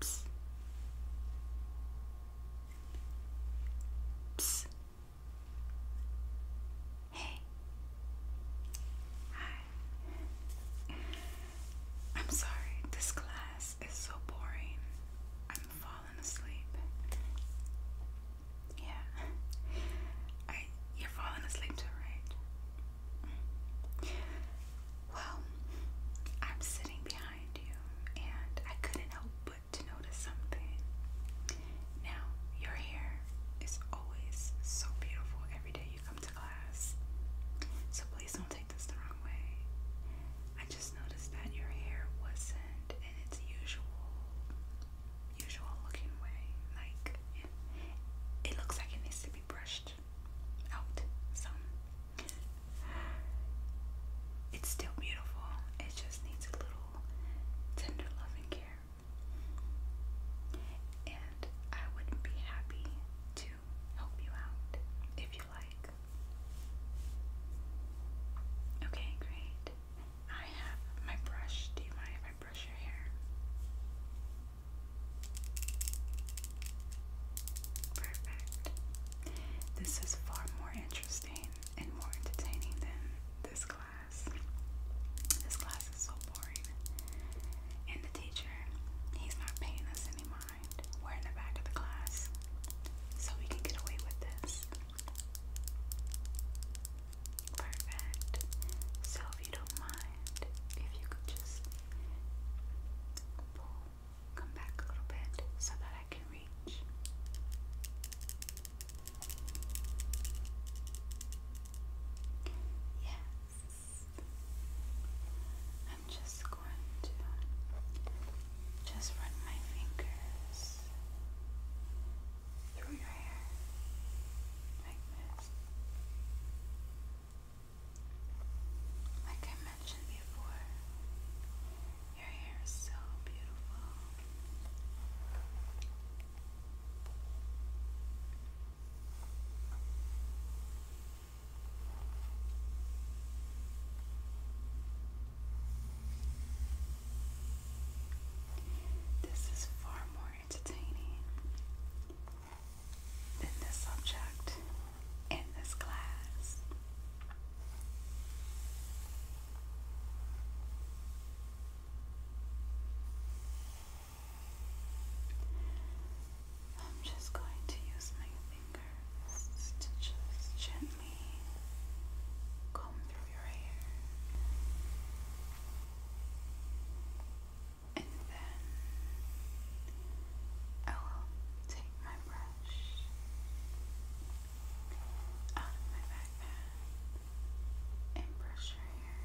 Psst. Psst. Hey. Hi. I'm sorry, this class is so boring. I'm far fallen asleep. Yeah. I you're falling asleep too, right? Well, I'm sitting behind you and I couldn't help but to notice something. Now, your hair is always so beautiful every day you come to class. So please don't take this the wrong way. I just noticed that your hair wasn't in its usual, usual looking way. Like it, looks like it needs to be brushed out. So it's still beautiful. It just needs a little tender loving care. And I would be happy to help you out if you like. Okay, great. I have my brush. Do you mind if I brush your hair? Perfect. This is far more interesting and more entertaining than this class. This class is so boring. And the teacher, he's not paying us any mind. We're in the back of the class. So we can get away with this. Perfect. So, if you don't mind, if you could just pull, come back a little bit so that I can reach. Yes. I'm just going to just run my fingers this through your hair like this. Like I mentioned before, your hair is so beautiful. This is far more entertaining than this subject in this class. I'm just going to use my fingers to just gently me comb through your hair and then I will take my brush out of my backpack and brush your hair.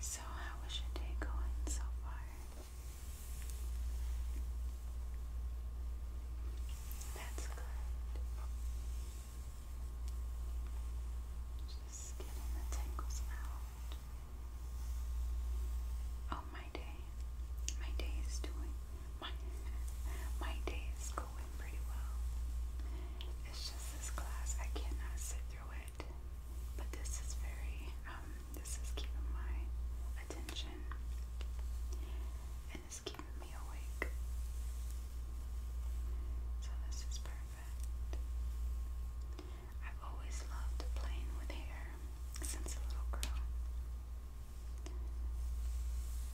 So, how your day going so far? That's good. Just getting the tangles out. Oh, my day. My day is doing my, my day is going pretty well. It's just this class, I cannot sit through it. But this is very, um, this is keeping my attention and it's keeping me awake. So this is perfect. I've always loved playing with hair since a little girl.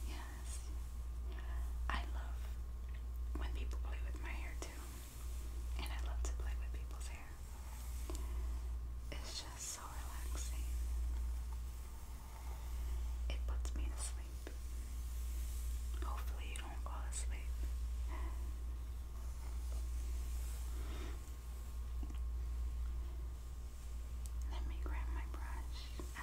Yeah, I love when people play with my hair too. And I love to play with people's hair. It's just so relaxing. It puts me to sleep. Hopefully you don't fall asleep. Let me grab my brush.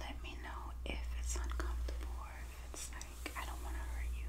Let me know if it's uncomfortable if it's like, I don't want to hurt you.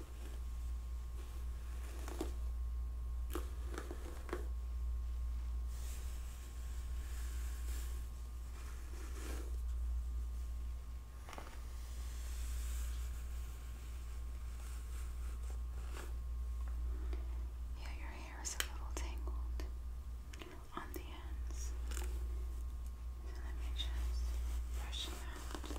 Yeah, your hair is a little tangled on the ends. So let me just brush them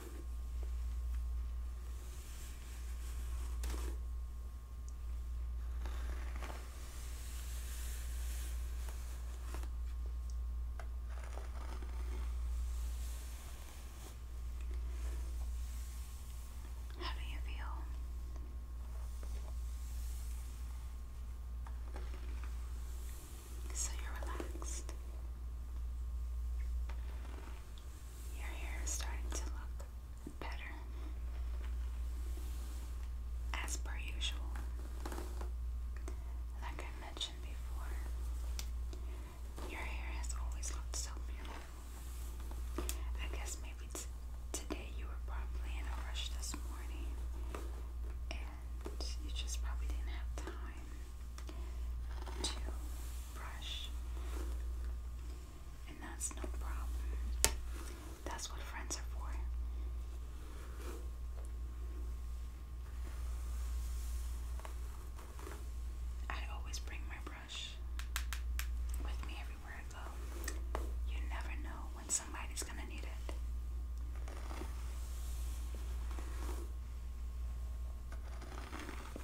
How do you feel? So you're relaxed. Your hair is starting to look better. As per usual. Like I mentioned before, your hair has always looked so beautiful. I guess maybe today you were probably in a rush this morning and you just probably didn't have time to brush, and that's no problem. That's what friends are for. I always bring my brush with me everywhere I go. You never know when somebody's gonna need it.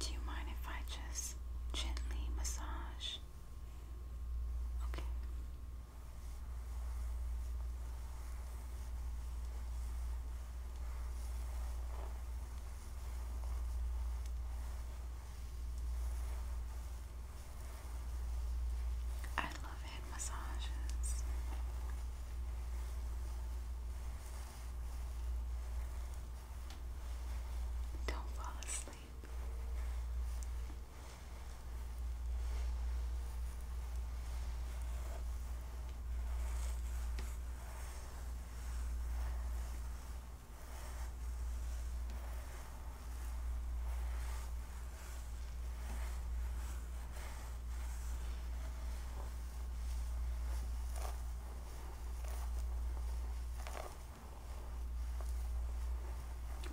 Do you mind if I just gently massage? Okay. I love hand massages. Don't fall asleep.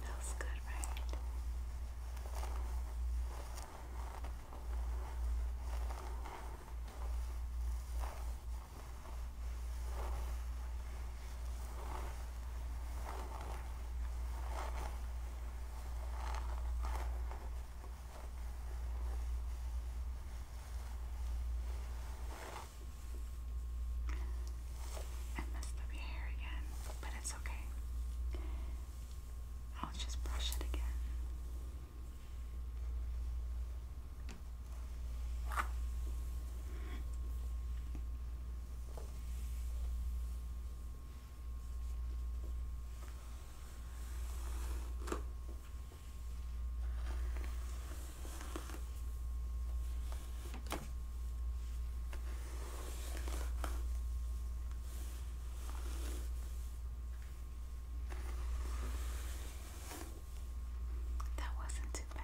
Feels good, right? I messed up your hair again, but it's okay. I'll just brush it again. That wasn't too bad.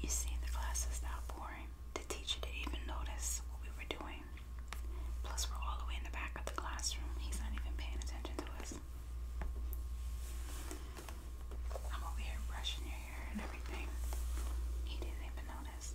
You see, the class is now boring. The teacher didn't even notice what we were doing. Plus, we're all the way in the back of the classroom. He's not even paying attention to us. I'm over here brushing your hair and everything. He didn't even notice.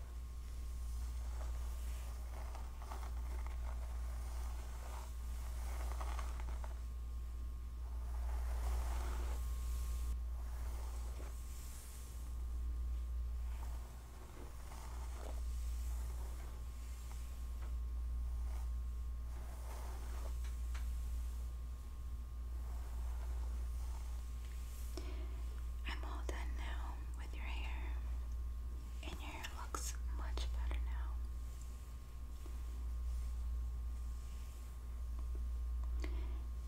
I'm all done now with your hair and your hair looks much better now.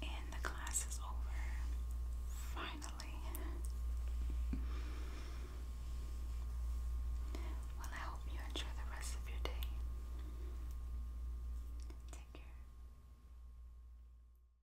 And the class is over. Finally. Well, I hope you enjoy the rest of your day. Take care.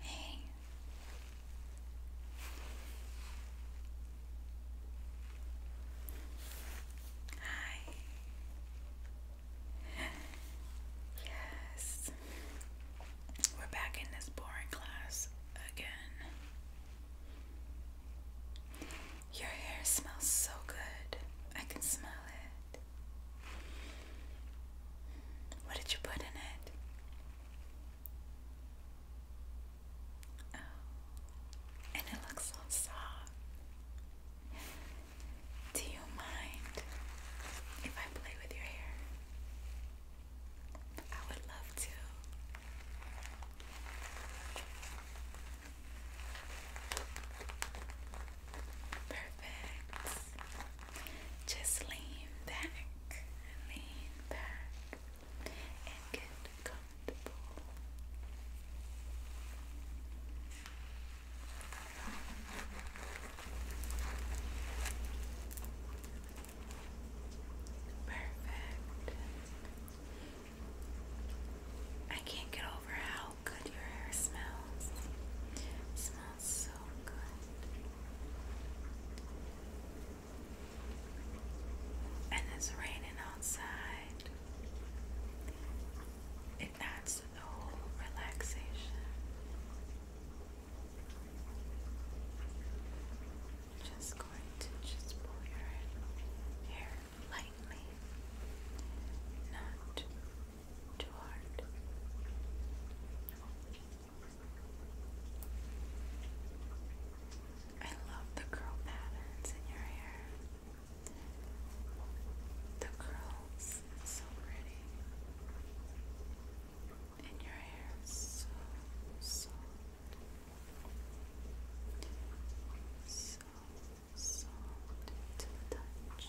Hey. Hi. Yes. We're back in this boring class again. Your hair smells so good. I can smell it. What did you put in it? Oh, and it looks so soft. Do you mind if I play with your hair? I would love to. Perfect. Just lean back, lean back, and get comfortable. Perfect. I can't get over how good your hair smells. smells so good. And it's raining outside. It adds to the whole relaxation. Just going to just pull your hair lightly, not toward I love the curl patterns in your hair. The curls so pretty. And your hair is so soft. So soft to the touch.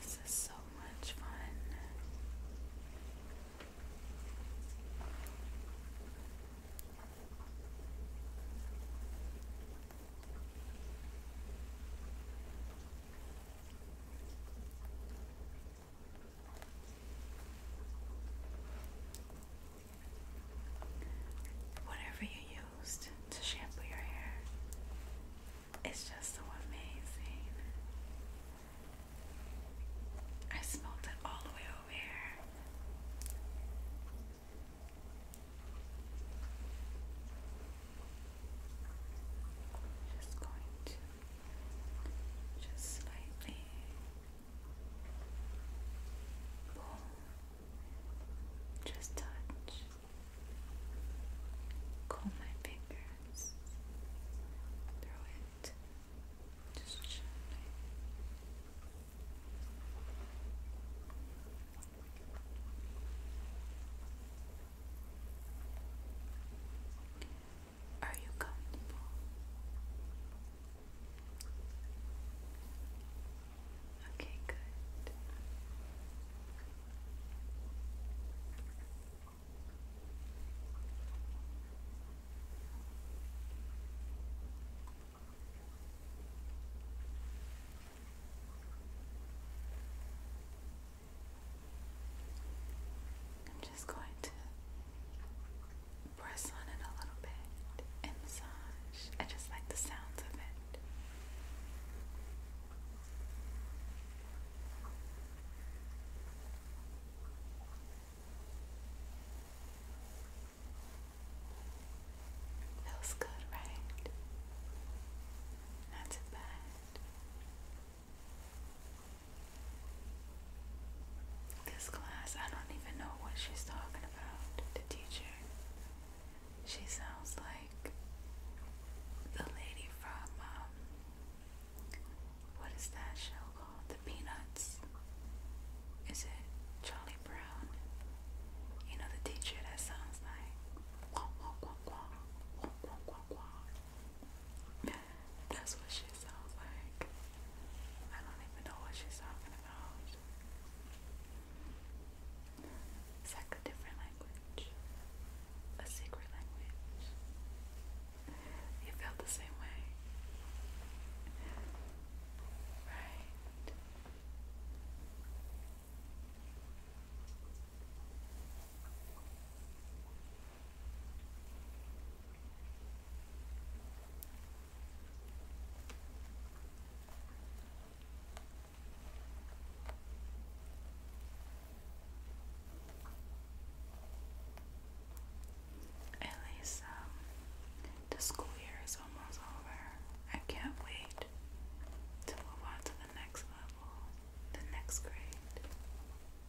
This is so much fun. Whatever you used to shampoo your hair, it's just so amazing. I smelled it all the way over here. Just going to just slightly pull, just touch, comb my fingers, throw it just gently. Are you comfortable? Okay, good. I'm just going to press on it a little bit and massage. I just like the sounds of it. Feels good, right? Not too bad. This class, I don't even know what she's talking about, the teacher. She sounds like the lady from, um, what is that show called? The Peanuts. Is it Charlie Brown? You know the teacher that sounds like, quack, quack, quack, quack, quack, quack, quack. Yeah, that's what she sounds like. I don't even know what she's talking about. It's like a different language, a secret language. You felt the same way, right? At um, the school year is almost over. I can't wait to move on to the next level, the next grade.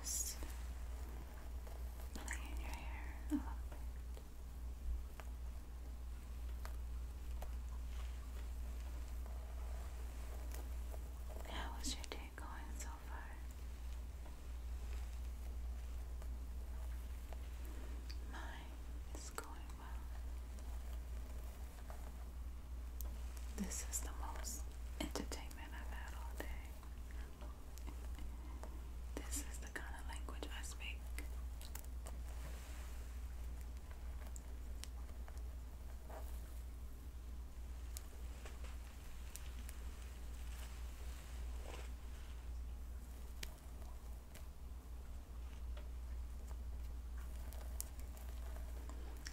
Just playing your hair a little your day going so far? Mine is going well. This is the most entertainment I've had all day. This is the kind of language I speak.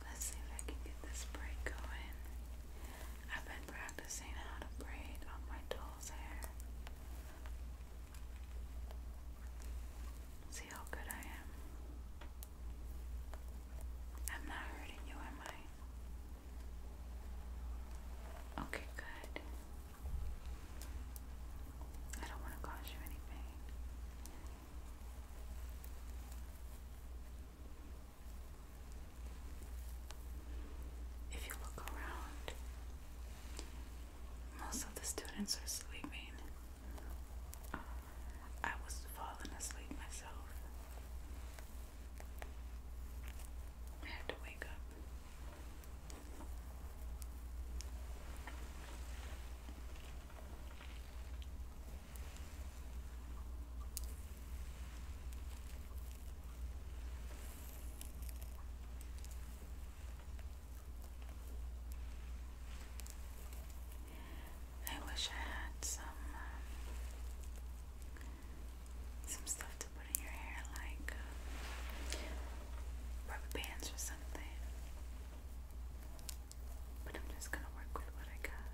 Let's see if I can get this break going. I've been practicing how to braid on my doll's hair. See how good I am. I'm not hurting you, am I? Okay, good. I don't want to cause you any pain. If you look around, most of the students are sleeping. I was falling asleep myself. I had to wake up. I wish I had some um, some stuff to put in your hair, like uh, rubber bands or something. But I'm just gonna work with what I got.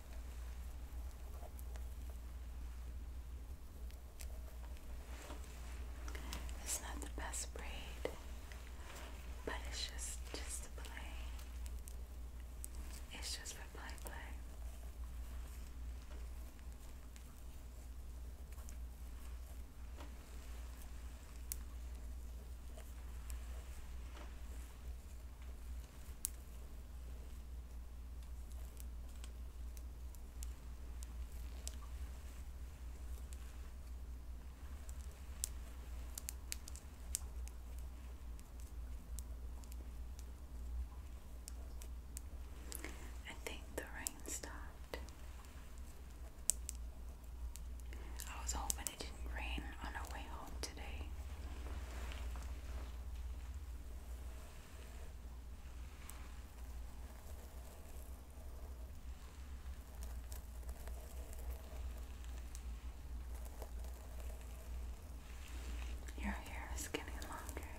It's not the best braid, but it's just just to play. It's just for play play. I think the rain stopped. I was hoping it didn't rain on our way home today. Your hair is getting longer.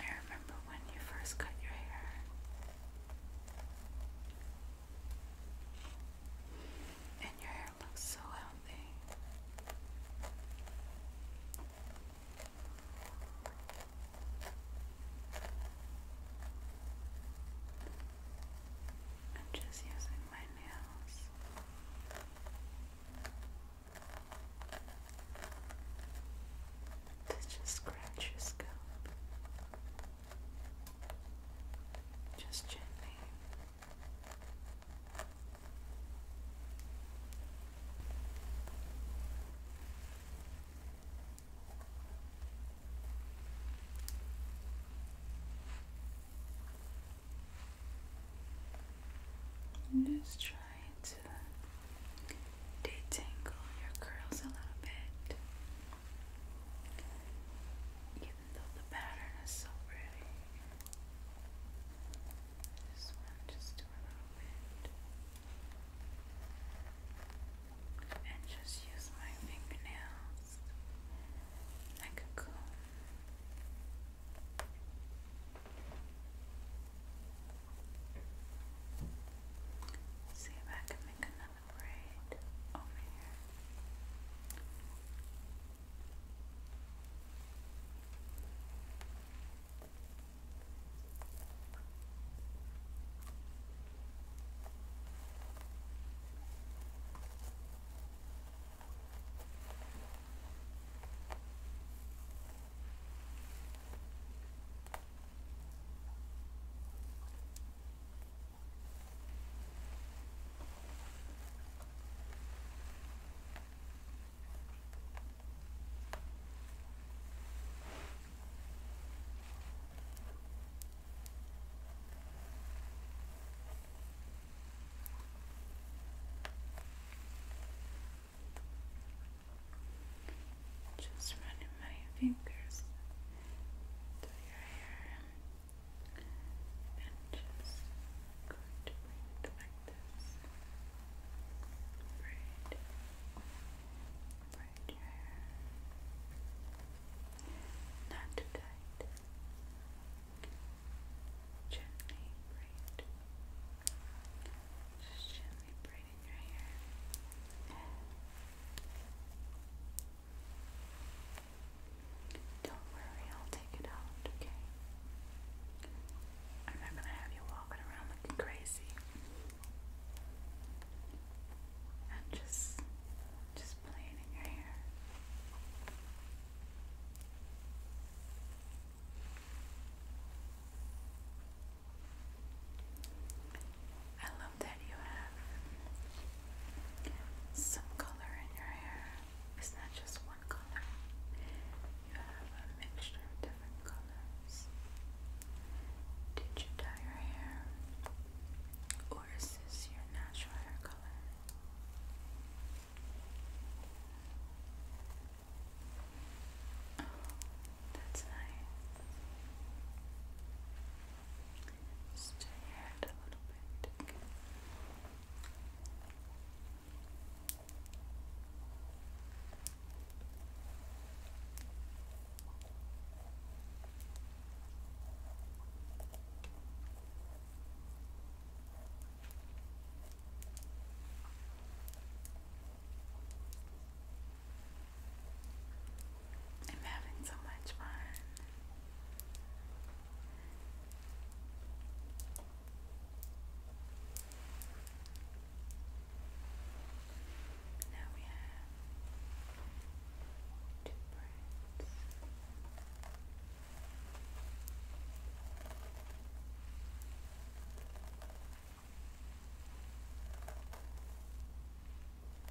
I remember when you first cut your hair. And your hair looks so healthy. I'm just using my nails. To just scratch your scalp. Just gently. I'm just trying to detangle your curls a little bit. Even though the pattern is so pretty, this one just a little bit. And just use my fingernails like a comb. See if I can make another have a over here. Just running my fingers through your hair. And just going to bring it Braid. Braid your hair. Not too tight. Gently braid. Just gently braiding your hair. Don't worry, I'll take it out, okay? I'm not gonna have you walking around looking crazy. And just just playing in your hair. I um, that you have some color in your hair. It's not just one color, you have a mixture of different colors. Did you dye your hair? Or is this your natural hair color? Oh, that's nice. Just add a little bit. I'm having so much fun. Now we have two birds.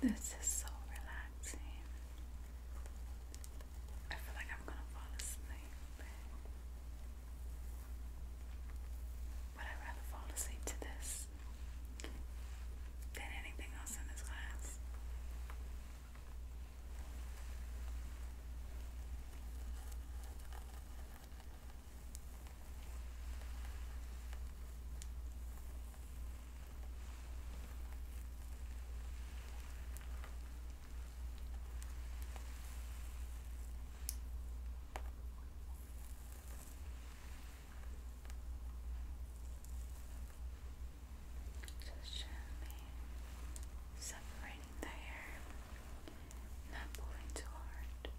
This is so relaxing. I feel like I'm gonna fall asleep. But i rather fall asleep to this than anything else in this class. Just gently separating the hair, not pulling too hard.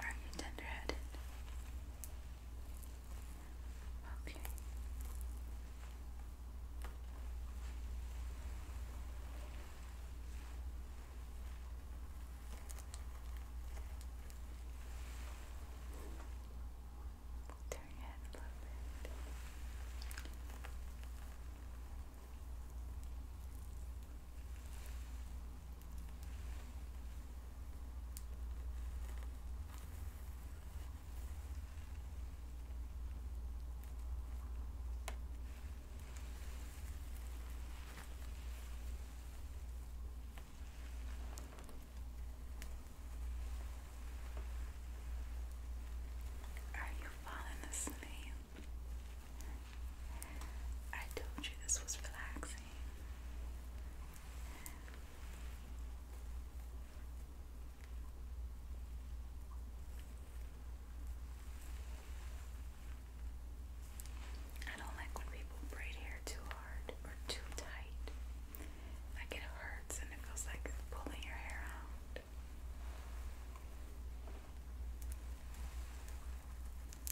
Are you tender headed? Okay. Turn your head a little bit. Are you falling asleep? I told you this was relaxing. I don't like when people braid hair too hard or too tight. Like it hurts and it feels like pulling your hair out.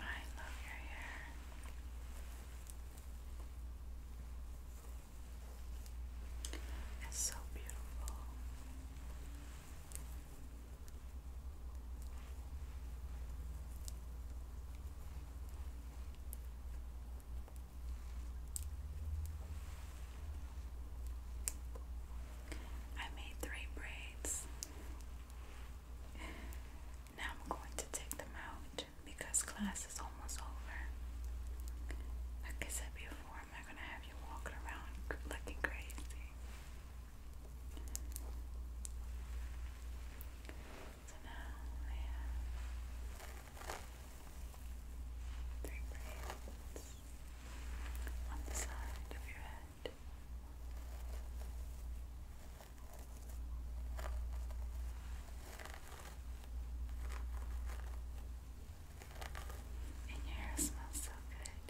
I love your hair. It's so beautiful. I made three braids. Now I'm going to take them out because class is almost over. Like I said before, I'm not going to have you walking around looking crazy. So now three braids on the side of your head. And your hair smells so good.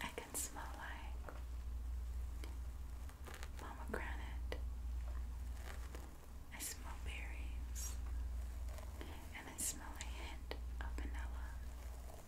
I can smell like pomegranate. I smell berries. And I smell a hint of vanilla.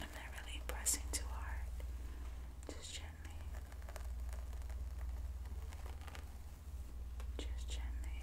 I'm not really pressing too hard, just gently, just gently, just gently.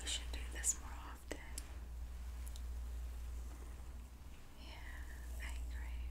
We should do this more often. Yeah, I agree.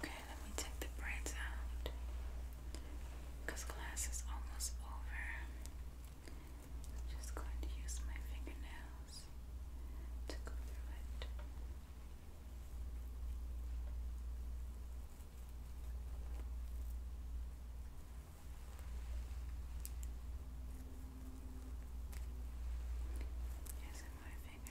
Okay, let me take the braids out because class is almost over. I'm just going to use my fingernails to go through it. Using my fingernails.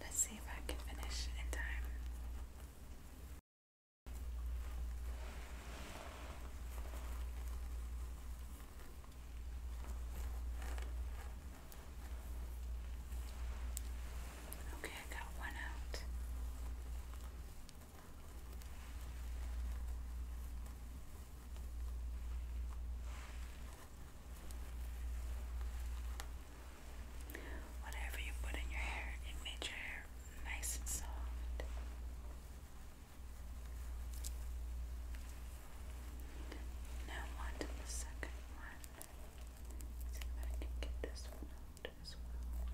Let's see if I can finish in time. Okay, I got one out. Whatever you put in your hair, it made your hair nice and soft. Now, on the second one see if I can get this one out as well.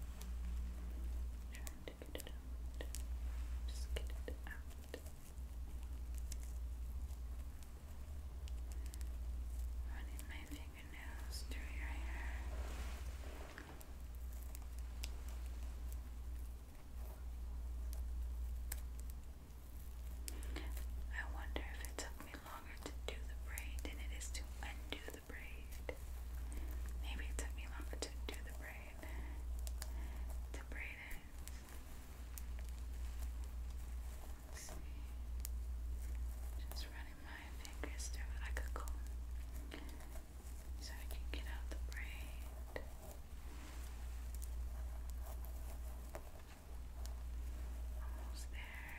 Trying to get it out. Just get it out. Running my fingernails through your hair. I wonder if it took me me longer to do the braid than it is to undo the braid. Maybe it took me longer to do the braid. To braid it. see. Just running my fingers through it like a So I can get out the braid. Almost there.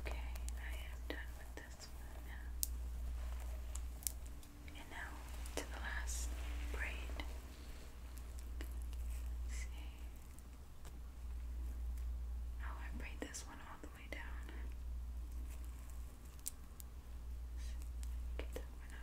Okay, I am done with this one now. And now to the last braid. see. Oh, I braid this one all the way down. Get that one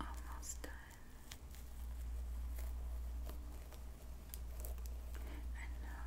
Almost done. And now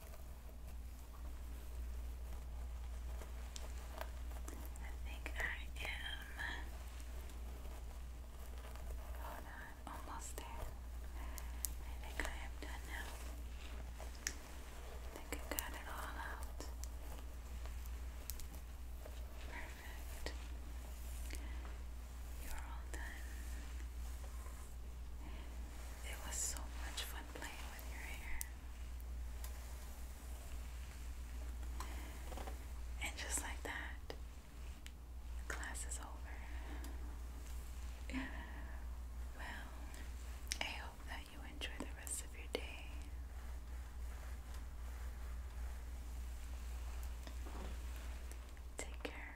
I think I am. Hold on, almost there. I think I am done now. I think I got it all out. Perfect. You're all done. It was so much fun playing with your hair. And just like that, class is over. Well, I hope that you enjoy the rest of your day. Take care.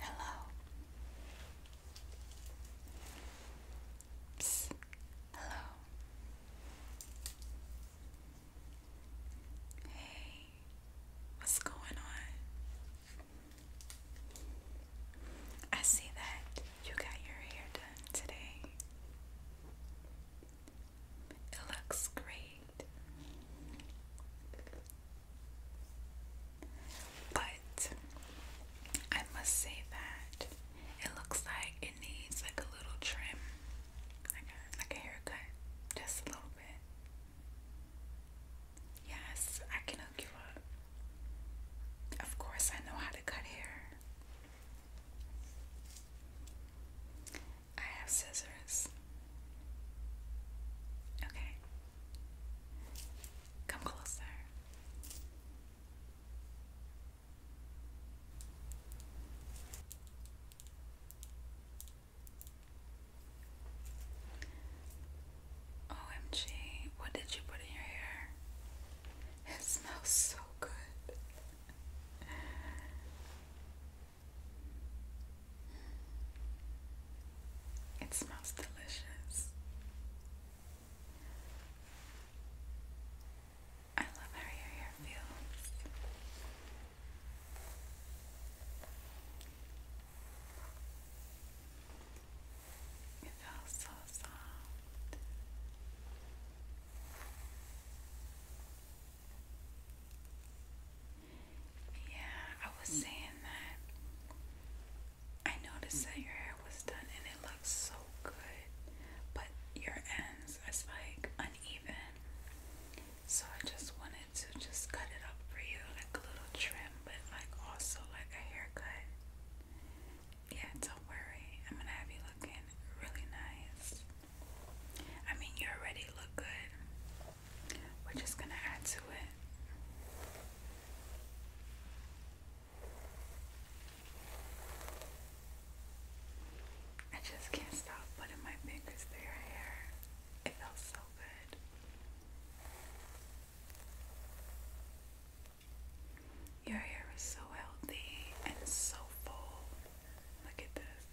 Hello. Hello. Hey, what's going on? I see that you got your hair done today. It looks great. But I must say that it looks like it needs like a little trim, like like a haircut, just a little bit. Yes, I can hook you up. Of course, I know how to cut hair. I have scissors. Okay. Come closer. OMG, what did you put in your hair? It smells so good. It smells delicious. I love how your hair feels. It feels so soft. Yeah, I was mm. saying that I noticed that your hair was done and it looks so good, but your ends are like uneven. So I just wanted to just cut it up for you, like a little trim, but like also like a haircut. Yeah, don't worry. I'm gonna have you looking really nice. I mean, you already look good. We're just gonna add to it. I just can't stop putting my fingers through your hair. It feels so good. Your hair is so healthy and so full. Look at this.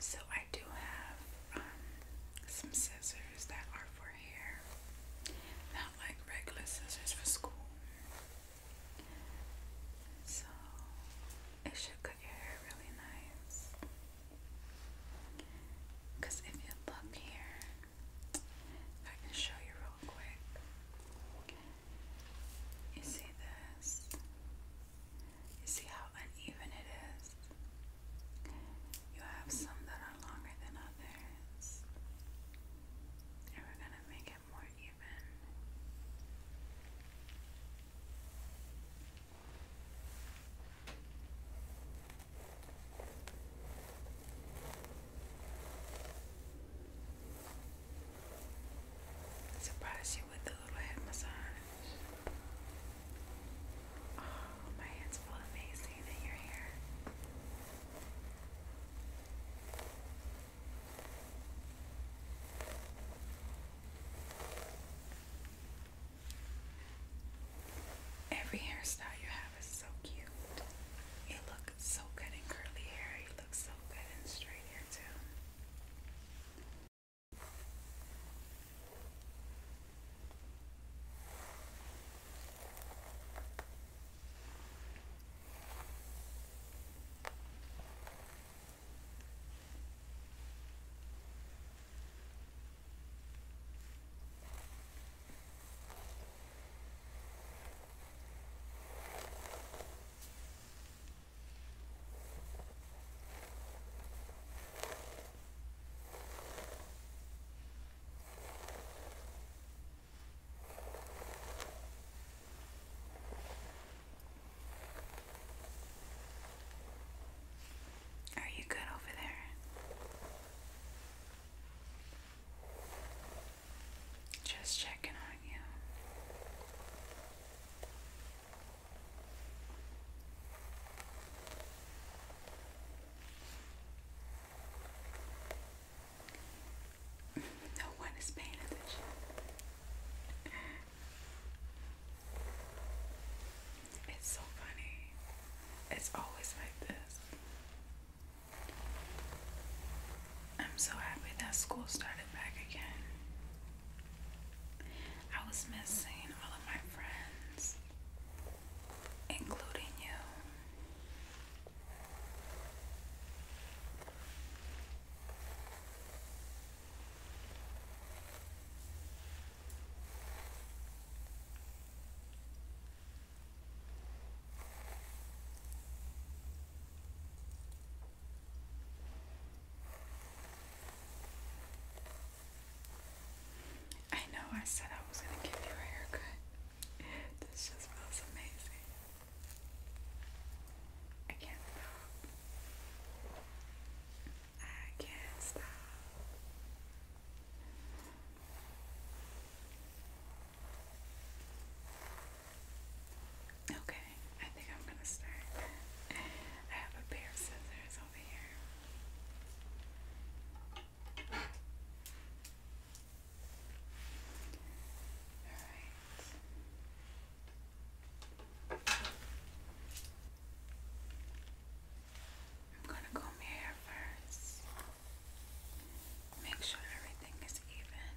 So, I do have um, some scissors that are for hair, not like regular scissors for school. So, it should cut your hair really nice. Because if you look here, I can show you real You see this? You see how uneven it is? You have some that are longer than others. And we're going to make it more even. Surprise you with the little head massage. Oh, my hands feel amazing that you're here. Every hairstyle you have is so cute. You look so good in curly hair. You look so good in straight hair too. Are you good over there? Just checking on you. No one is paying attention. It's so funny. It's always like this. I'm so happy that school started back again. I was missing all of my friends, including you. I know I said I was going to give you a haircut. This just feels amazing. I can't stop. I can't stop. Okay, I think I'm gonna start. I have a pair of scissors over here. Alright. I'm gonna comb your hair first. Make sure everything is even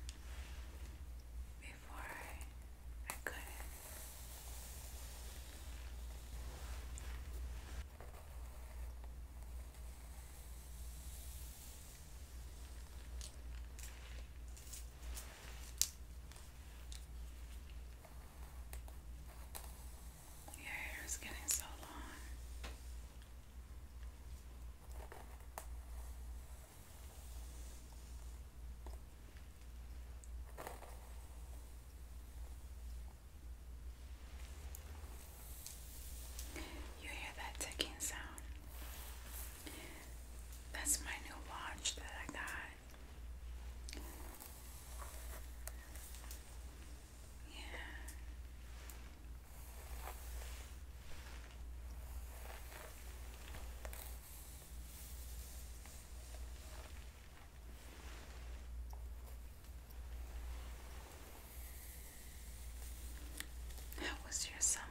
before I, Your hair is getting so long. You hear that ticking sound? That's my new watch that I got. Yeah. How was your summer?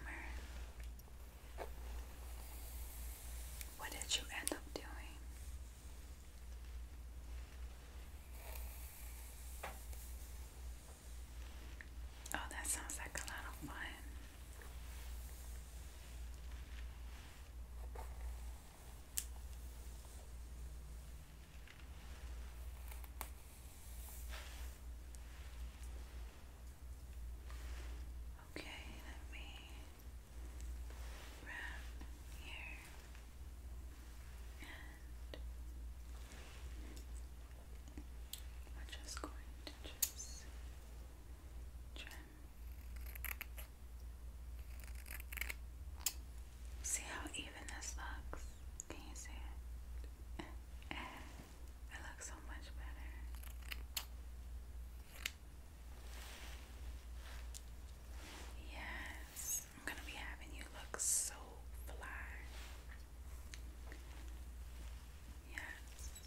What did you end up doing? Oh, that sounds like a lot of fun. Okay, let me wrap here and I'm just going to just trim. See how even this looks? Can you see it? it looks so much better. Yes, I'm gonna be having you look so fly. Yes.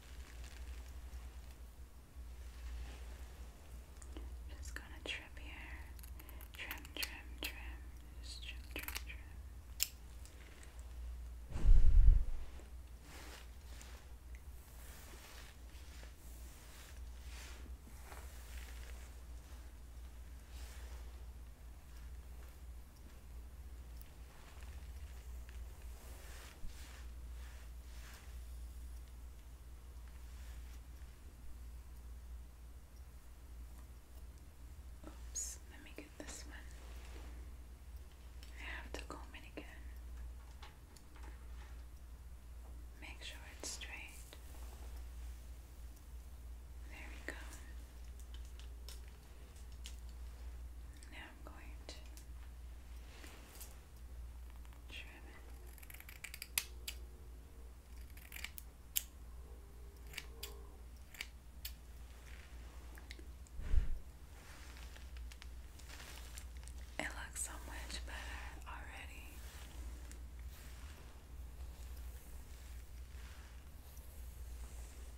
Just gonna trim here. Trim, trim, trim. trim, trim, trim. Oops, let me get this one. I have to comb it again. Make sure it's straight. There we go. Now I'm going to trim it. It looks so much better already.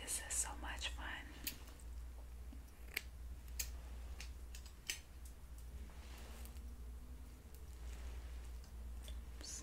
This is so much fun. Oops.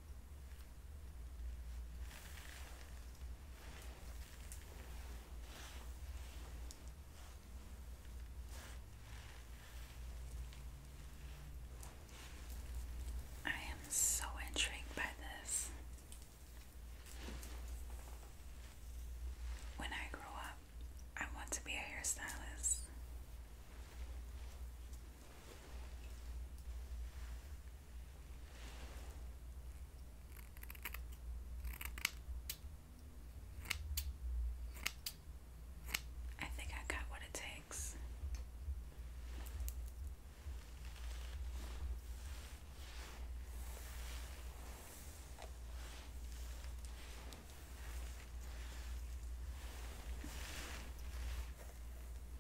I am so intrigued by this. When I grow up, I want to be a hairstylist. I think I got what it takes.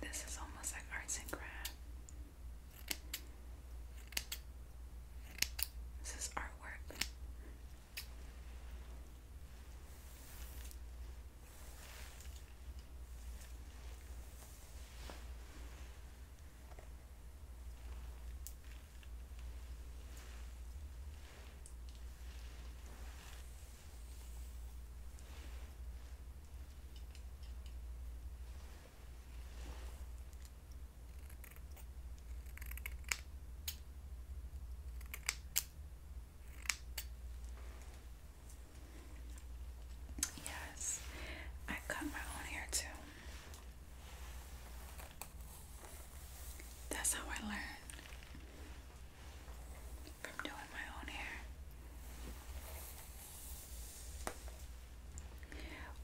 This is almost like arts and craft. This is artwork. Yes, I cut my own hair too. That's how I learned from doing my own hair.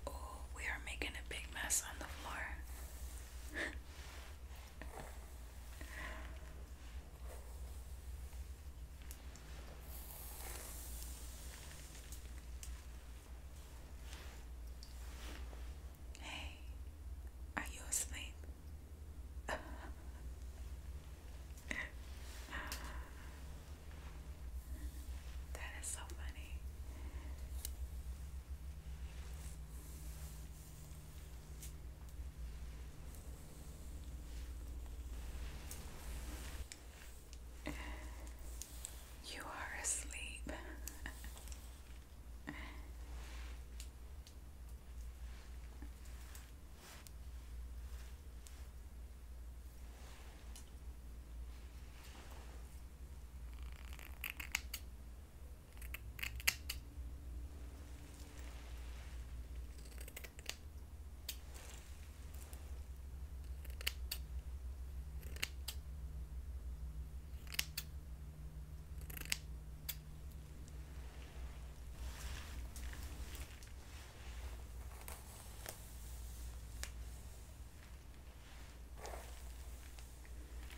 Oh, we are making a big mess on the floor. Hey, are you asleep? that is so funny. You are asleep.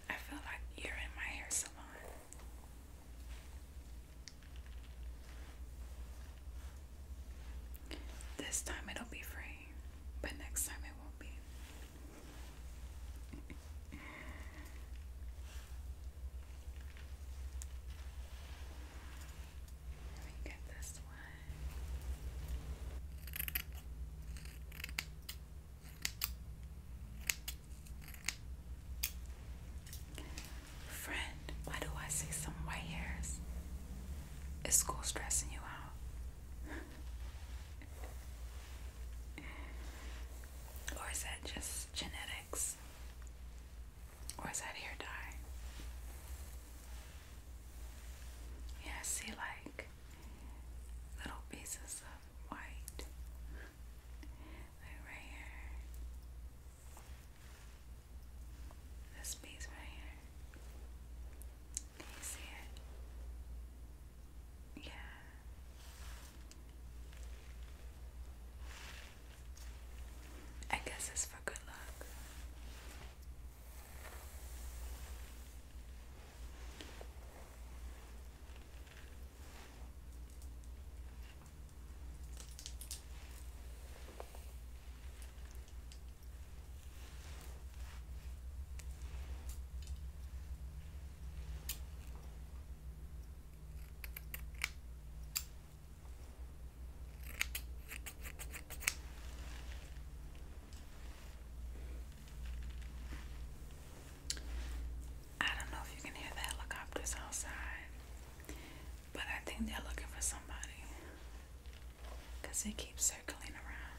I feel like you're in my hair salon. This time it'll be free, but next time it won't be. Let me get this one. Friend, why do I see some white hairs? Is school stressing you out? or is that just genetics? Or is that hair dye? Yeah, I see like little pieces of white. Like right here. This piece right here. Can you see it? Yeah. I guess it's for good luck. I don't know if you can hear the helicopters outside, but I think they're looking for somebody because they keep circling around.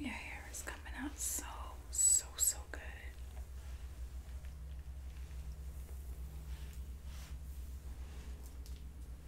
Your hair is coming out so, so, so good.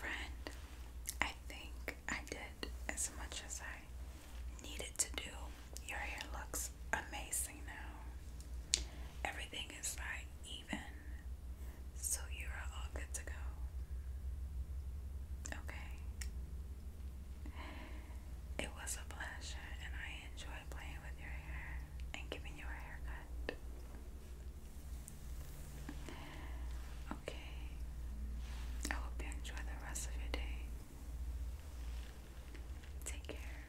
Friend, I think I did it as much as I needed to do. Your hair looks amazing now. Everything is like even, so you are all good to go. Okay. It was a pleasure, and I enjoyed playing with your hair and giving you a haircut. Okay, I hope you enjoy the rest of your day. Take care.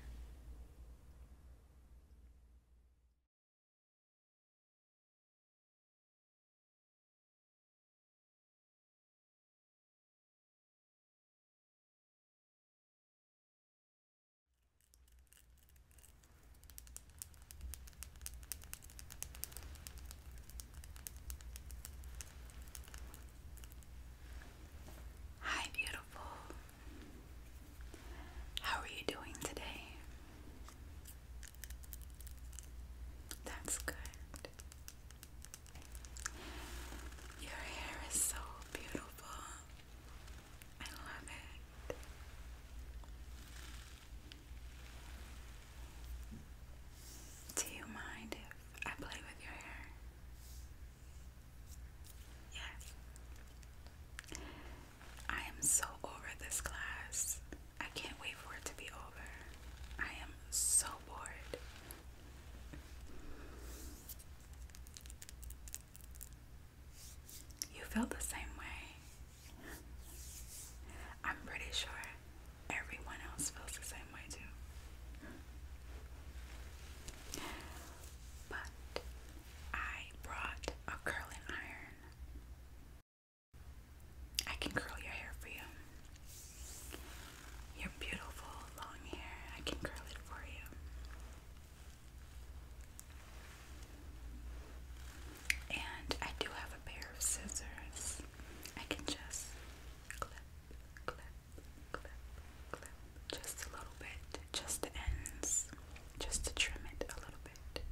Hi, beautiful. How are you doing today? That's good. Your hair is so beautiful. I love it. Do you mind if I play with your hair? Yes. I am so over this class. I can't wait for it to be over. I am so bored. You feel the same way. I'm pretty sure everyone else feels the same way too. But I brought a curling iron. I can curl your hair for you. Your beautiful long hair, I can curl it for you. And I do have a pair of scissors. I can just clip, clip, clip, clip, just a little bit, just the ends, just to trim it a little bit.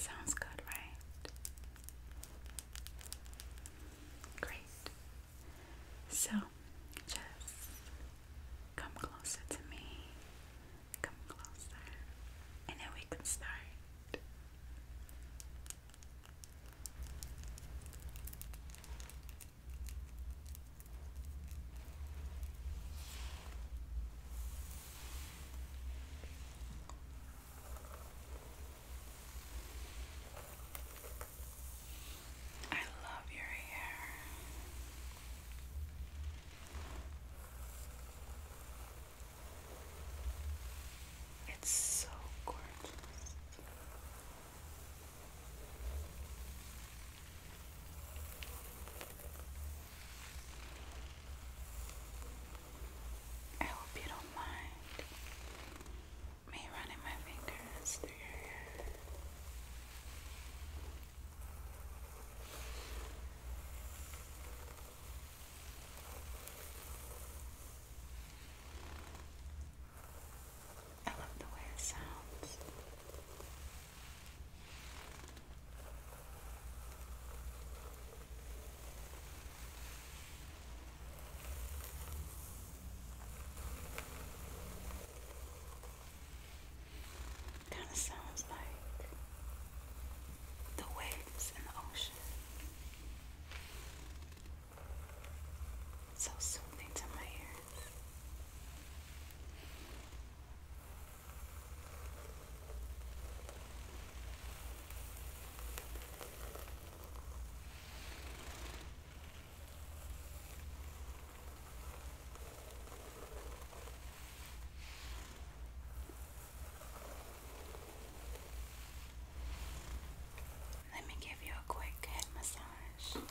Sounds good, right? Great. So, just come closer to me. Come closer, and then we can start. I love your hair. It's so gorgeous. I hope you don't mind me running my fingers through your hair. I love the way it sounds. Kind of sounds like the waves in the ocean. So soothing to my ears. Let me give you a quick head massage.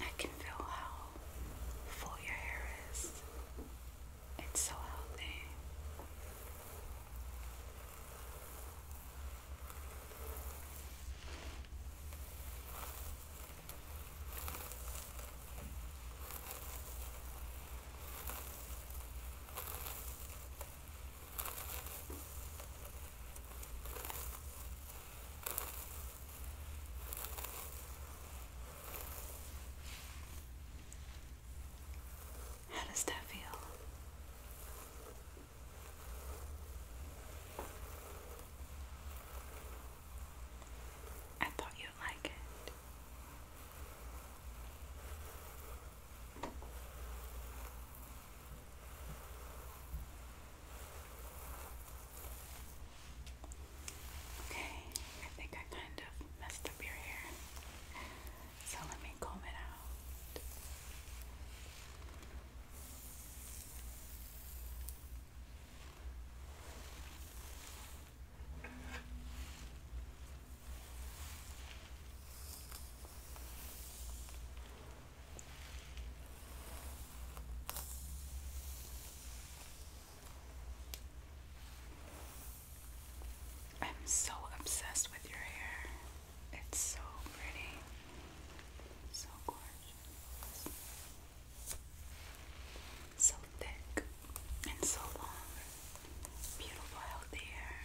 I can feel how full your hair is. It's so healthy. How does that feel? I thought you'd like it. Okay, I think I kind of messed up your hair, so let me comb it out. I'm so obsessed with your hair. It's so pretty. So gorgeous. So thick and so long. Beautiful, healthy hair.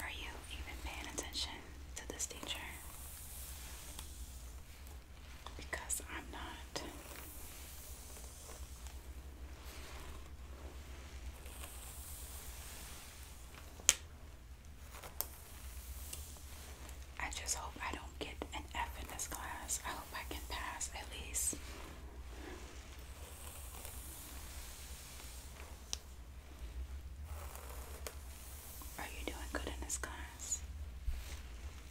Are you even paying attention to this teacher? because I'm not. I just hope I don't get an F in this class. I hope I can pass at least. Are you doing good in this class?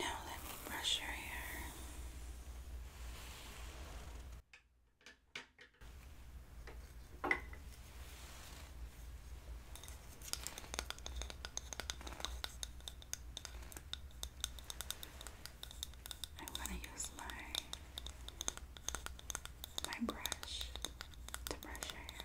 Now let me brush your hair. I want to use my my brush to brush her hair.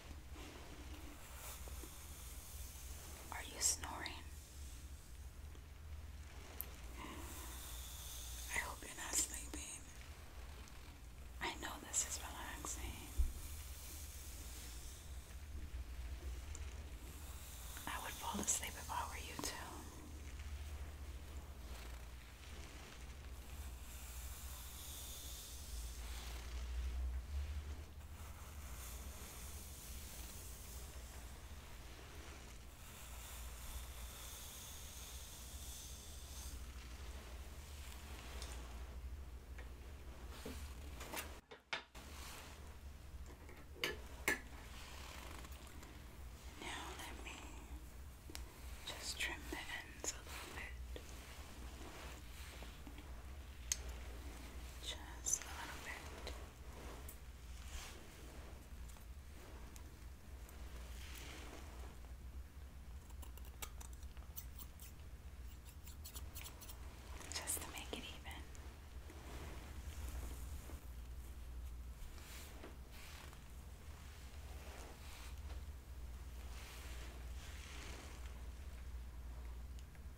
Are you snoring? I hope you're not sleeping. I know this is relaxing. I would fall asleep if I were you too. Now let me just trim the ends a little bit. Just a little bit. Just to make it even.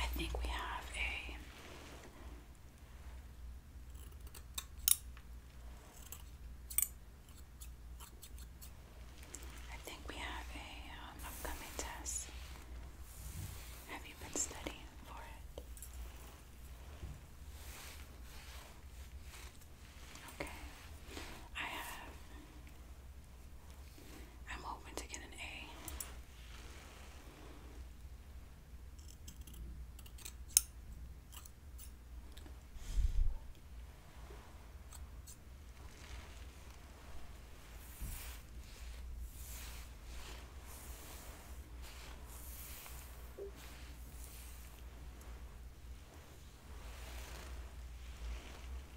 I think we have a I think we have a um, upcoming test. Have you been studying for it? Okay. I have I'm hoping to get an A.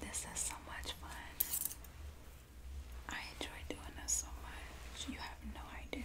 This is so much fun. I enjoy doing this so much. You have no idea.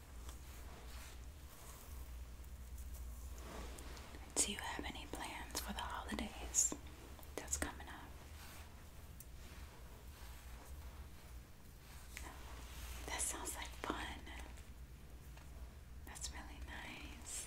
Do you have any plans for the holidays that's coming up? That sounds like fun. That's really nice.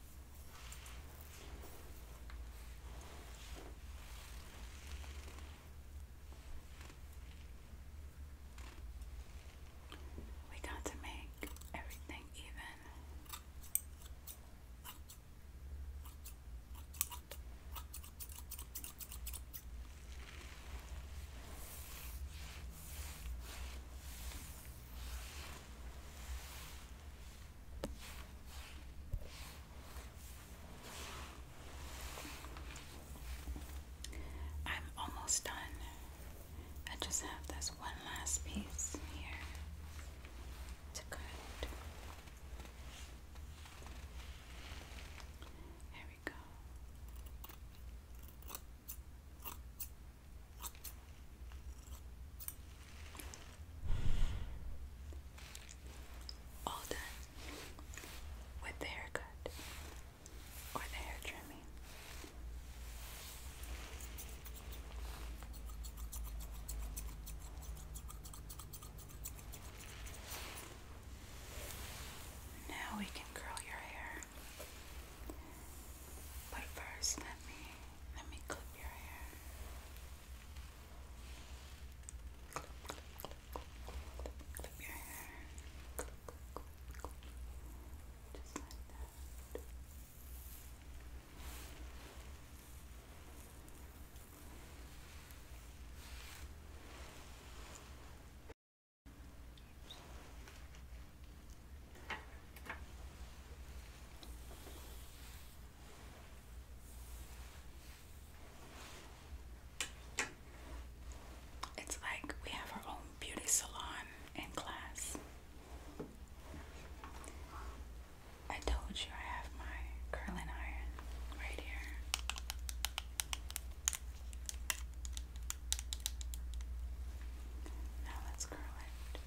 We got to make everything even. I'm almost done. I just have this one last piece here to cut. There we go. All done with the haircut or the hair trimming. Now we can curl your hair. But first, let me let me clip your hair. Clip, clip, clip, clip, clip, your hair. Clip, clip, clip, clip. Just like that. It's like we have our own beauty salon and class. I told you I have my curling iron right here. Now let's curl it.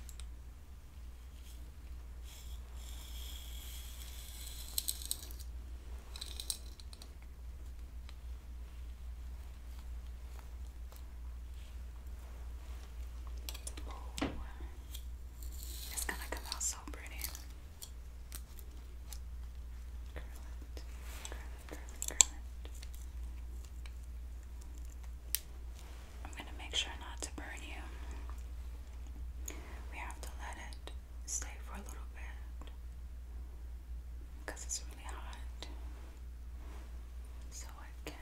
Oh, it's gonna come out so pretty. I'm going to make sure not to burn you. We have to let it stay for a little bit because it's really hot. So I can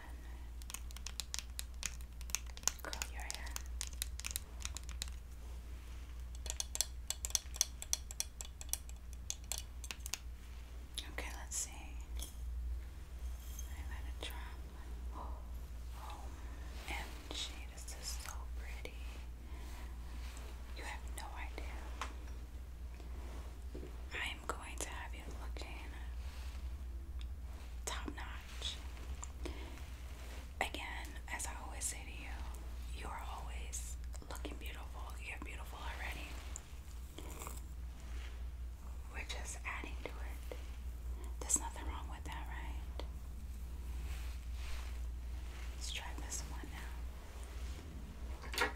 curl your hair. Okay, let's see. I let it drop. OMG, this is so pretty. You have no idea. I am going to have you looking top notch. Again, as I always say to you, you are always looking beautiful. You're beautiful already. We're just adding to it. There's nothing wrong with that, right? Let's try this one now. Curl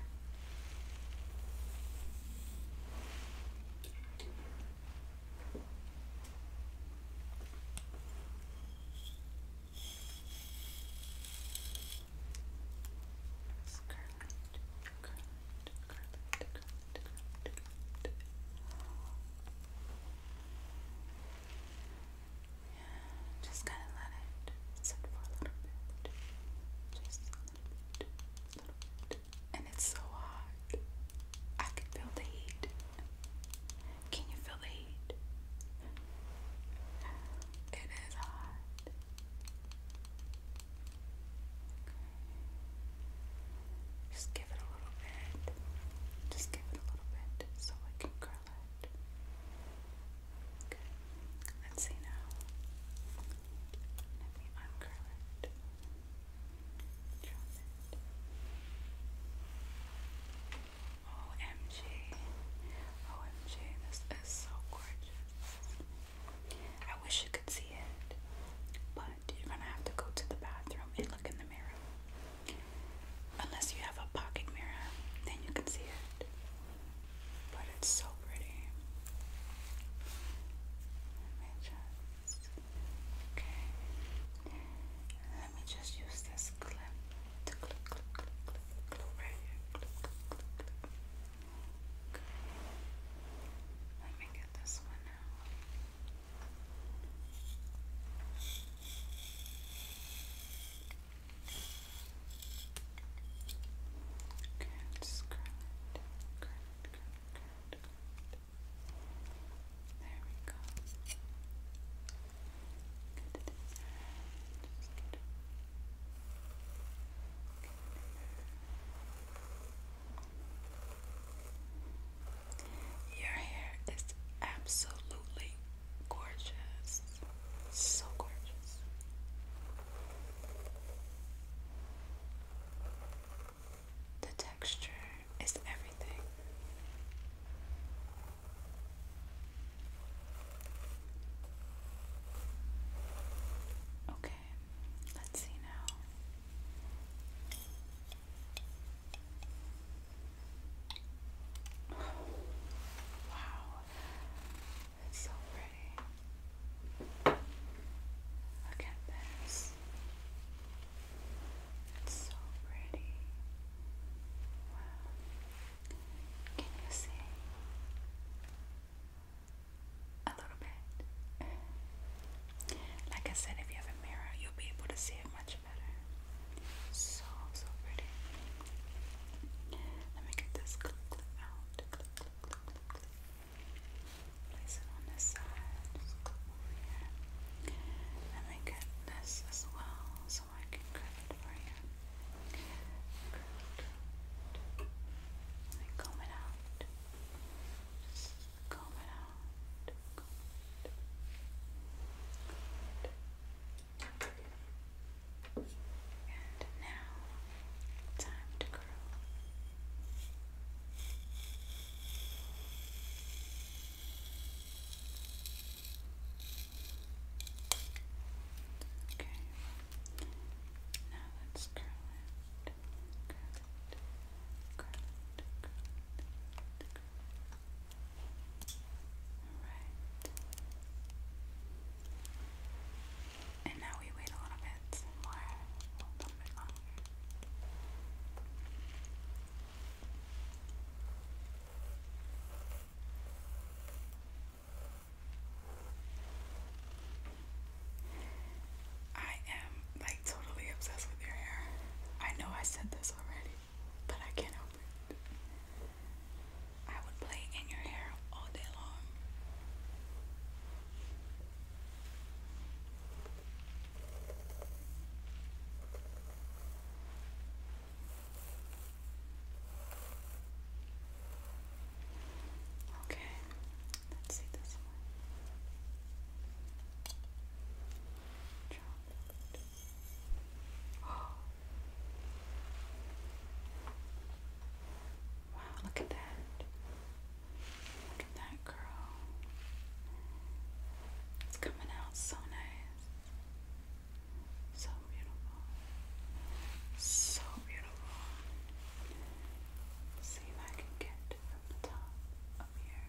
curl just kind of let it sit for a little bit. Just a little bit. And it's so hot. I can feel the heat. Can you feel the heat? It is hot. Just give it a little bit. Just give it a little bit so I can curl it. Okay. Let's see now. Let me uncurl it. OMG. OMG, this is so gorgeous. I wish you could see it, but you're gonna have to go to the bathroom and look in the mirror. Unless you have a pocket mirror, then you can see it. But it's so pretty. Let me just. Okay. Let me just use this clip to clip, clip, clip, clip, clip right here. Let me get this one out. Okay, just curl it, curl it, curl it, curl it, curl it. There we go. Get to this end. Just get, get there. Good. Your hair is absolutely gorgeous. So gorgeous. The texture is everything. Okay, let's see now. Wow, it's so pretty. Look at this. It's so pretty. Wow. Can you see? A little bit. Like I said, if you have a mirror, you'll be able to see it much better. So, so pretty. Let me get this clip, clip out. Clip, clip, clip, clip, Place it on this side. Let me get this as well so I can cut it for you. Cut. Let me comb it out comb it And now, time to curl. Okay. Now let's Curl it. Alright. And now we wait a little bit more, I am like totally obsessed with your hair. I know I said this already, but I can't help it. I would play in your hair all day long. Okay, let's see this one. Wow, look at that. Look at that girl. It's coming out so nice. So beautiful. So beautiful. see if I can get from the top up here.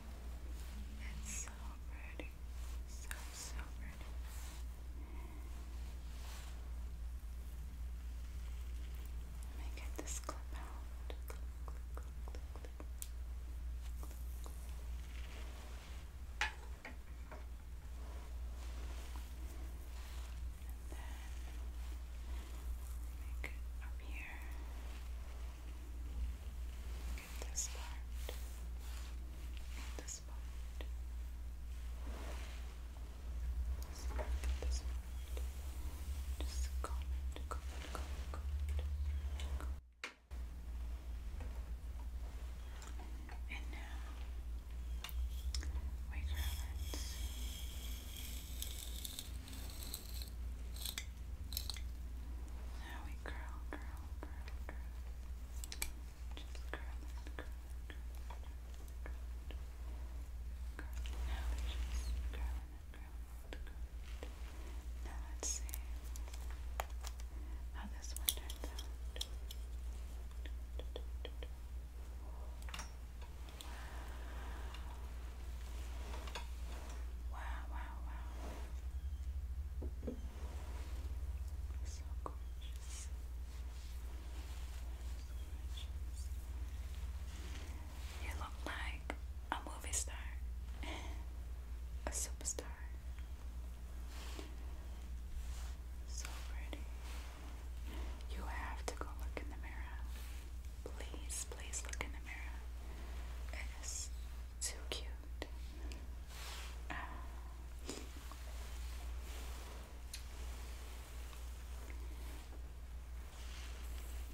It's so pretty. So, so pretty. Let me get this clip out. Clip, clip, clip, clip, clip. clip, And then make it up here in this part, this part, Just comment, And now we grab it. Now we curl, curl, curl, curl. Just curl and curl, curl, curl, curl. curl. Now we just curl and curl and curl. Now let's see how this one turns out. Wow. Wow, wow, wow. You look like a movie star, a superstar. So pretty. You have to go look in the mirror. Please, please look in the mirror. It is so cute.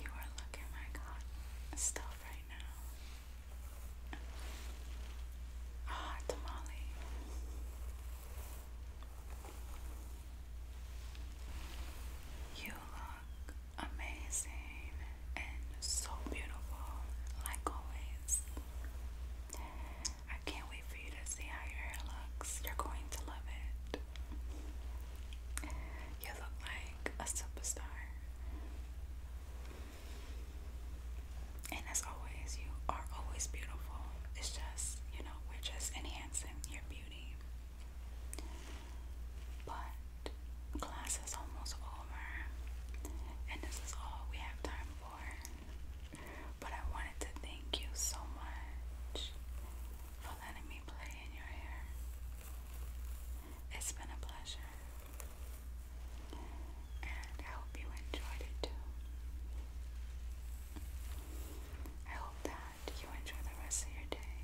you are looking like hot stuff right now. Hot tamale. You look amazing and so beautiful, like always. I can't wait for you to see how your hair looks. You're going to love it. You look like a superstar. And as always, you are always beautiful. It's just, you know, we're just enhancing your beauty. But class is almost over, and this is all we have time for. But I wanted to thank you so much for letting me play in your hair. It's been a pleasure, and I hope you enjoyed it too. I hope that you enjoy the rest of your day.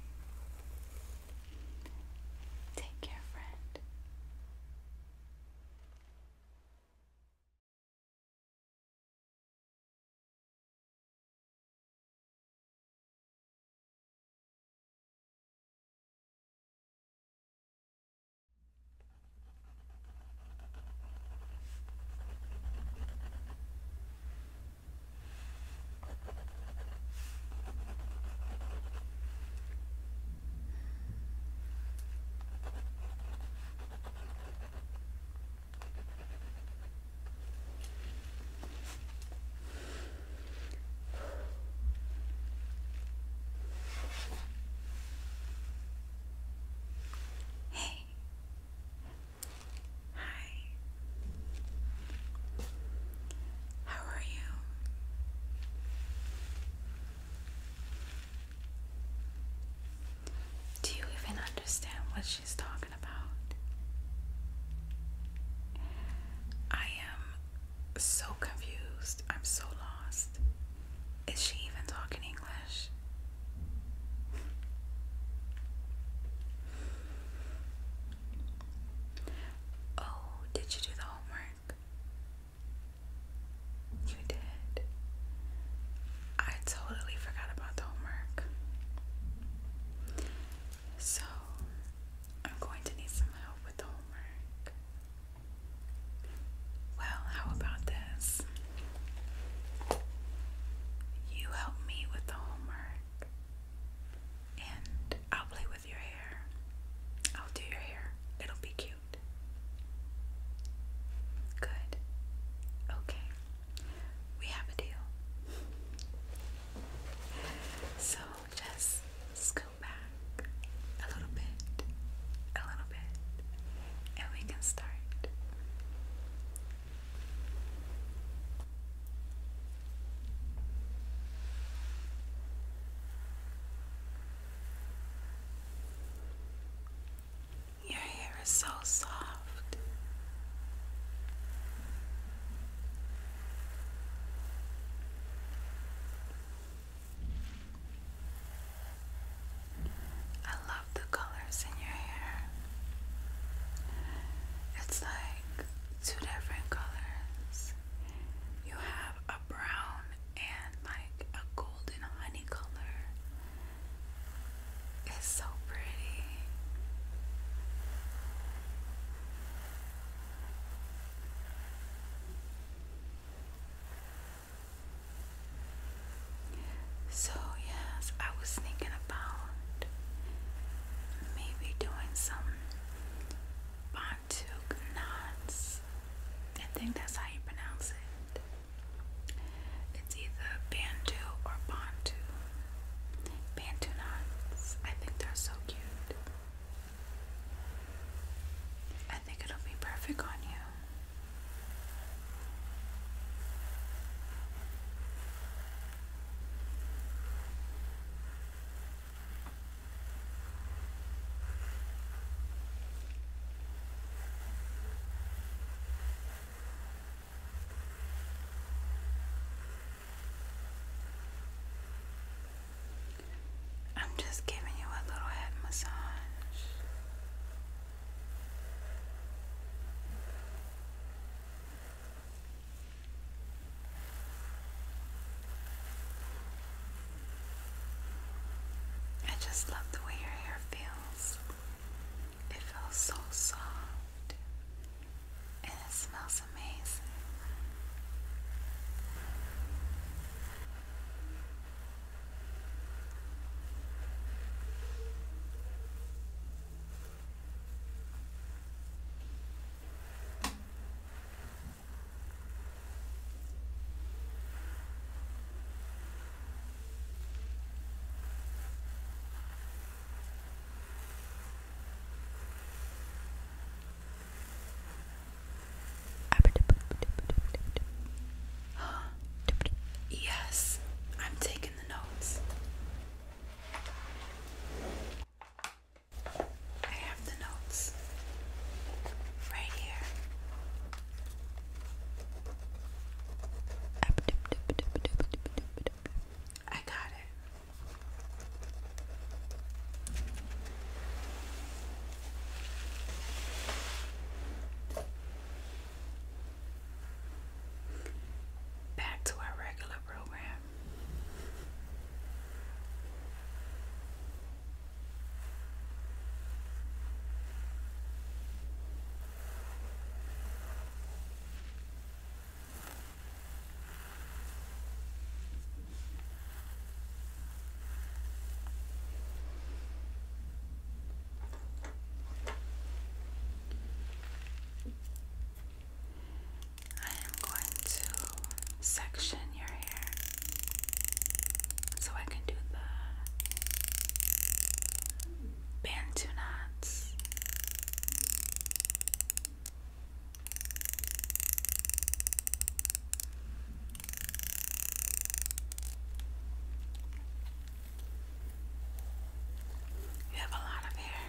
Take care, friend. Hey. Hi. How are you? Do you even understand what she's talking about? I am so confused. I'm so lost. Is she even talking English? Oh, did you do the homework? You did. I totally forgot about the homework. So, I'm going to need some help with the homework. Well, how about this? You help me with the homework, and I'll play your hair. I'll do your hair. It'll be cute. Good. Okay. We have a deal. So just scoot back a little bit, a little bit, and we can start. Your hair is so soft. I love the colors in your hair. It's like two different colors. You have brown and like a golden honey color. It's so pretty. So, yes, I was thinking about maybe doing some Nantuk I think that's how you pronounce it. It's either Bantu or Bantu. Bantu I think they're so cute. I think it'll be perfect on you. I'm just giving you a little head massage. I just love the way your hair feels. It feels so soft and it smells amazing. Yes, I'm taking the notes have the notes right here. I got it. Back to our regular program. I am going to section your hair so I can do the bantu knots. You have a lot of hair.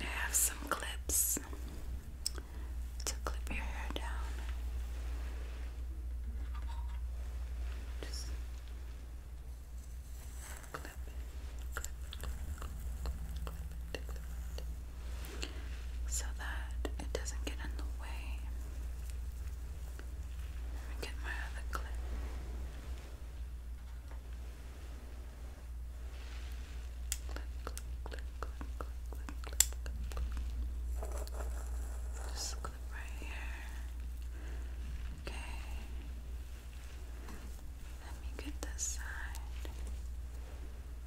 I have some clips to clip your hair down. Just clip it, clip it, clip it, clip it, clip it so that it doesn't get in the way. Let me get my other clip. Clip, clip, clip, clip, clip, clip, clip, clip. Just clip right here. Okay. Let me get this side.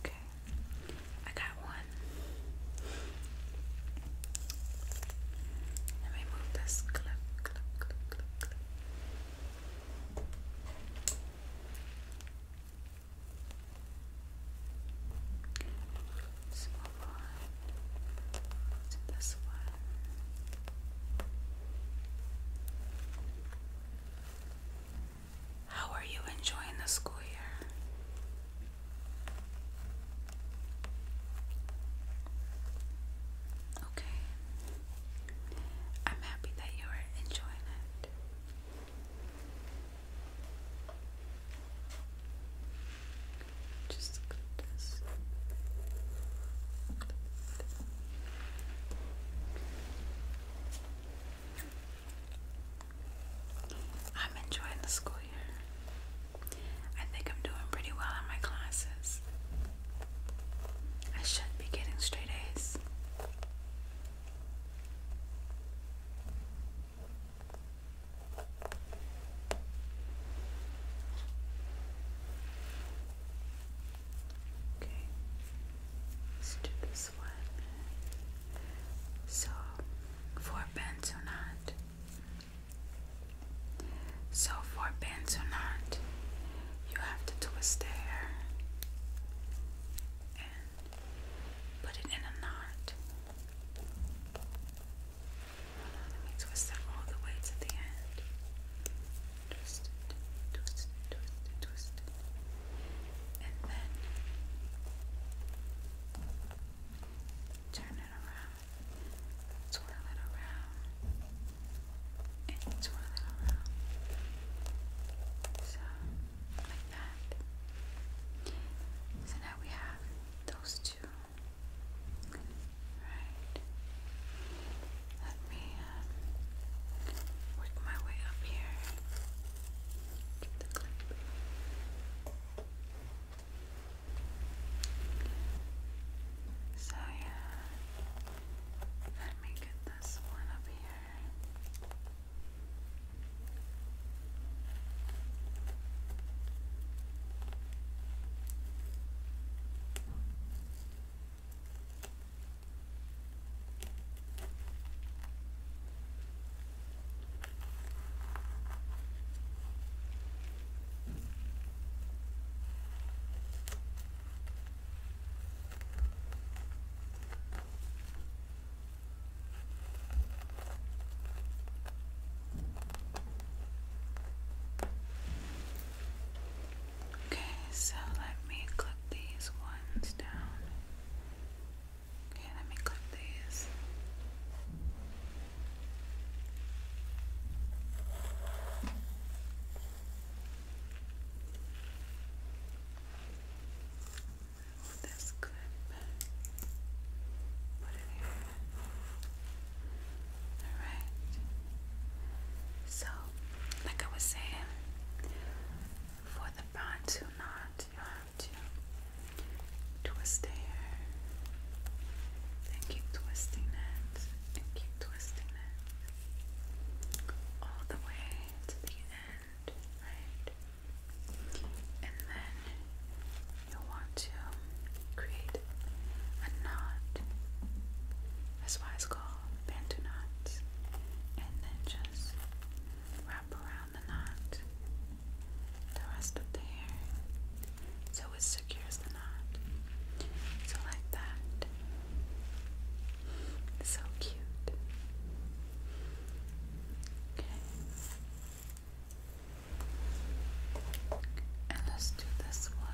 Okay, I got one. Let me move this clip, Let's move on to this one. How are you enjoying the school year? Okay. I'm happy that you are enjoying it. Just clip this. I'm enjoying the school year. I think I'm doing pretty well in my classes. I should be getting straight A's. Okay, let's do this one. So, four pence or not? So, four pence or not, you have to twist a hair and put it in a knot. let me twist it all the way to the end. Twist it, twist it, twist it, twist it. And then Turn it around. Twirl it around. And twirl it around. So, like that. So now we have those two. Right. Let me um, work my way up here to the So, yeah, let me get this one up here. Okay, so let me clip these ones down Okay, let me clip these. Oh, this clip. Put it here. Alright. So, like I was saying, for the bond to not, you to twist the hair. Then keep twisting it and keep twisting it all the way to the end, right? And then you want to create a knot. That's why it's called bantu knots. And then just wrap around the knot, the rest of the hair, so it secures the knot. So, like that. So cute. Okay. And let's do this one.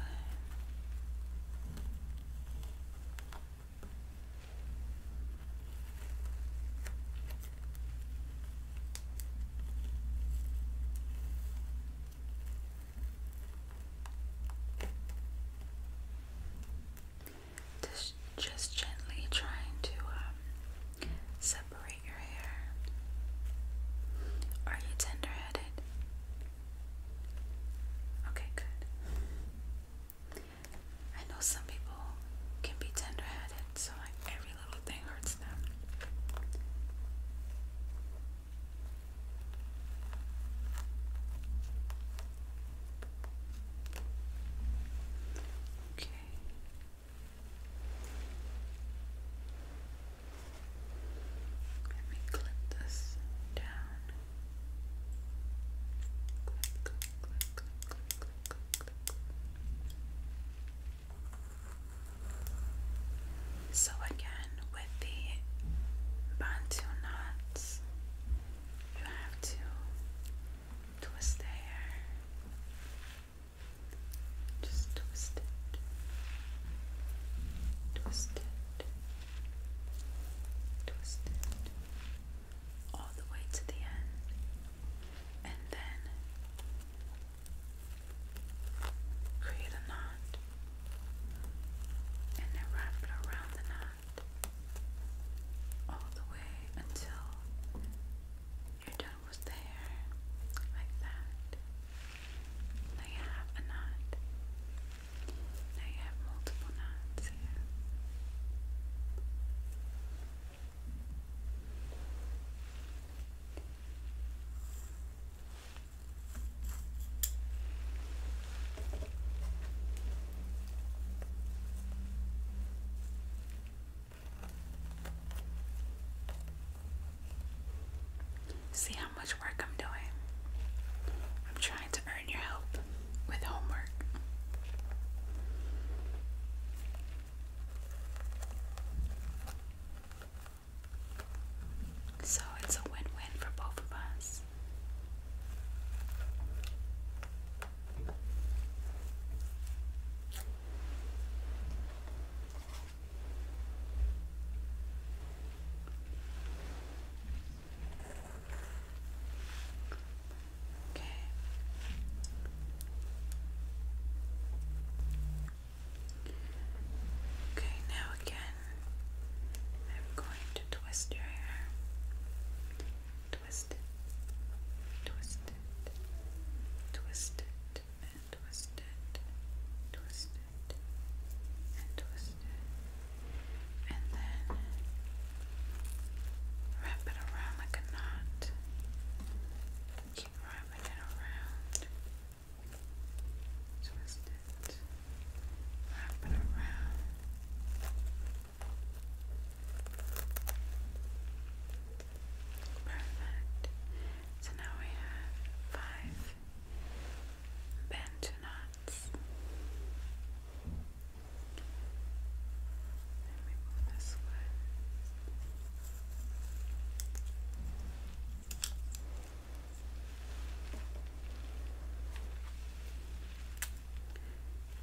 Just, just gently trying to um, separate your hair. Are you tender headed? Okay, good. I know some people can be tender headed, so I, every little thing hurts them. Let me clip this down. So again, with the bantu knots, you have to twist the hair. Just twist it. Twist it. Twist it. All the way to the end and then create a knot and then wrap it around the knot all the way until you're done with the hair like that. Now you have a knot. Now you have multiple knots See how much work I'm doing. I'm trying to earn your help with homework. So it's a win win for both of us. Okay. Okay, now again, I'm going to twist your hair. Twist it, twist it, twist it, and twist it, twist it, and twist it, and then wrap it around like a knot keep roaming around. Perfect. So now we have five bent knots. Let me move this way.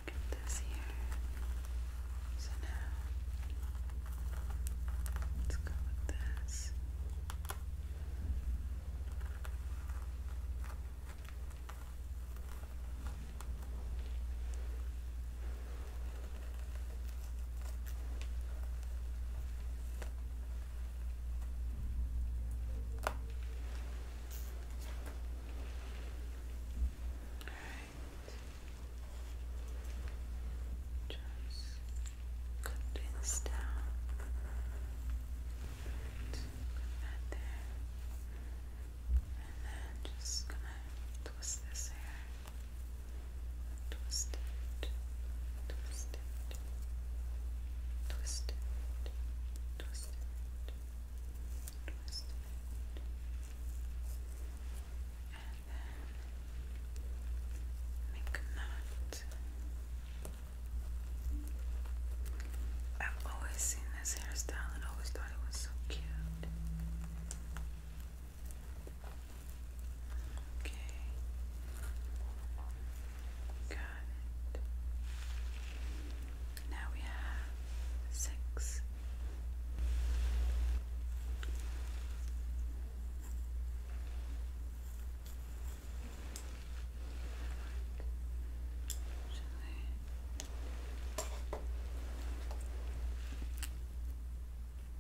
Get this here. So now let's go with this. All right. Just cut down. Right. Put And then just gonna twist this hair. Twisted, it, twist it, twist it, and then make a knot. I've always seen this hairstyle and always thought it was so cute. Okay. Got it. Now we have six. Okay.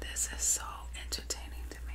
This is so entertaining to me.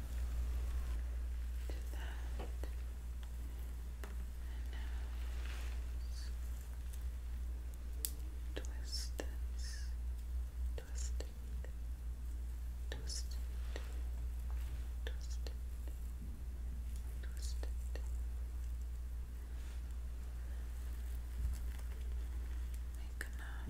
do that. And now twist this, twist it, twist it, twist it, twist it. Make a knot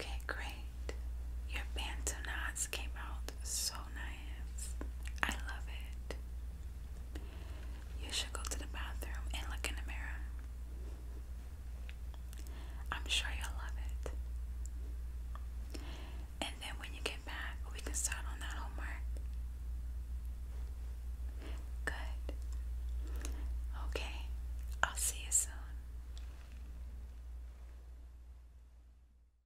Okay, great. Your bantonades came out so nice. I love it. You should go to the bathroom and look in the mirror. I'm sure you'll love it. And then when you get back, we can start on that homework. Good. Okay, I'll see you soon.